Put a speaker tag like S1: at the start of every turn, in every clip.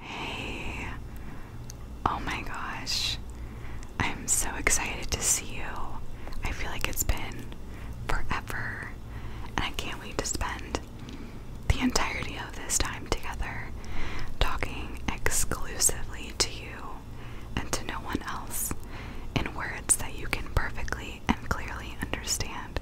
S1: Hey, oh my gosh, I'm so excited to see you. I feel like it's been forever, and I can't wait to spend the entirety of this time together talking exclusively to you and to no one else in words that you can perfectly and clearly understand.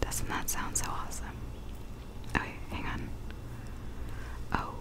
S1: Doesn't that sound so awesome? Okay, hang on. Oh,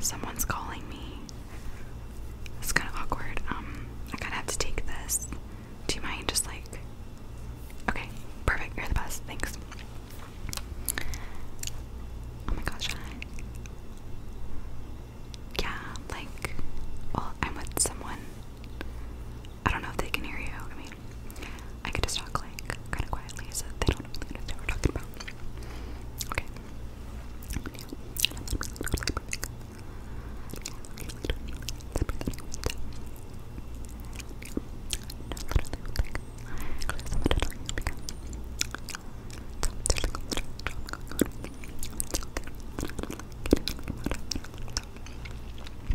S1: someone's calling me. It's kind of awkward. Um, I kind of have to take this. Do you mind just like. Okay, perfect. You're the best. Thanks. Oh my gosh, Yeah, like, well, I'm with someone. I don't know if they can hear you quietly. I could just talk like kind of quietly so they don't really know what we're talking about. Okay.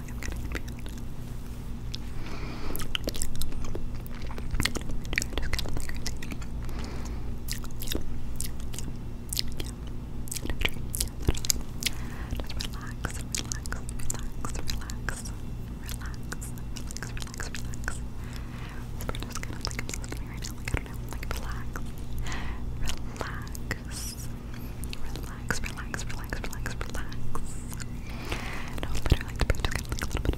S1: think I'm getting feeled. Yeah. I just got like crazy. Yeah. Yeah. Yeah. No dream. Yeah, literally. Just relax, relax, relax, relax, relax, relax, relax, relax. We're just kind of like I'm listening right now, like I don't know, like relax, relax, Relax, relax, relax, relax, relax. No, literally, the person got like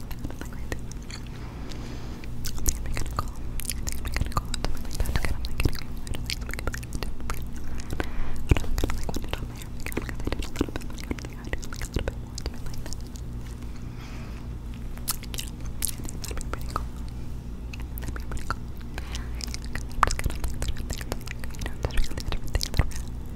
S1: like right there. I think I'm gonna call. I think I'm gonna call it something like that to get him like getting him I don't think like like I don't know, like when it on my hair like I'm gonna do it a little bit like I do like a little bit more to it like that. Yeah, I think that'd be pretty cool. That'd be pretty cool. I'm just gonna like sort of think about like, you know, touching on the different things that are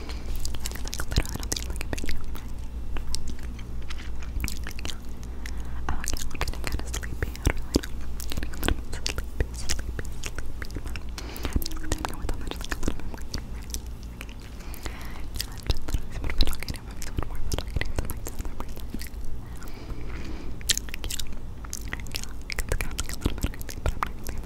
S1: like literally nothing like a video. Yeah. Oh yeah, I'm getting kind of sleepy. I don't really know. I'm getting a little bit sleepy, sleepy, sleepy. But I know with all that, just like a little bit more. Okay. Yeah, I'm just literally sort of talking to him. I'm sort of more talking to him. Like that, like that. Yeah. Yeah. It's kind of like a little bit crazy, but I'm not really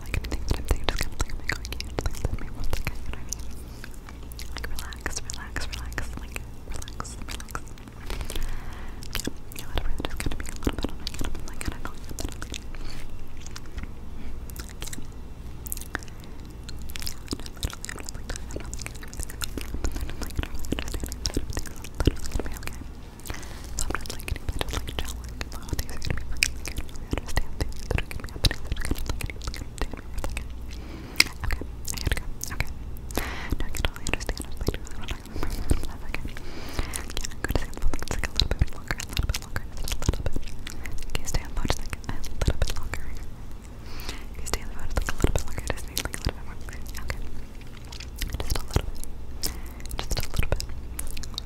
S1: like anything, anything, just kind of like, oh my god, can you just like let me one second, you know what I mean? Like relax, relax, relax, like relax, relax. Yeah, yeah, whatever, just kind of being a little bit on my head, I'm like, I don't know, I'm not like, so I'm just like, can you just like chill like the holidays are gonna be fucking good. I understand things that are gonna be happening that are gonna like it's gonna take me for a second. Okay, I had to go. Okay. Now I can totally understand I was like really what I'm going to for that second. Yeah, I'm gonna stay on the phone. It's like a little bit longer, a little bit longer, just a little bit. Okay, stay on the phone just like a little bit longer. Okay, stay on the phone just like a little bit longer, just need like a little bit more. Okay. Just a little bit. Just a little bit.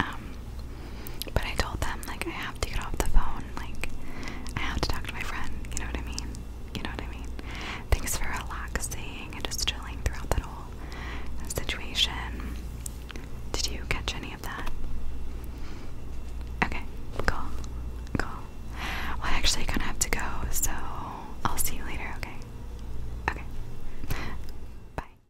S1: Um, but I told them like I have to get off the phone. Like I have to talk to my friend. You know what I mean? You know what I mean? Thanks for relaxing and just chilling throughout that whole situation. Did you catch any of that? Okay, cool, cool. I actually kind of have to go, so I'll see you later. Okay, okay. Bye.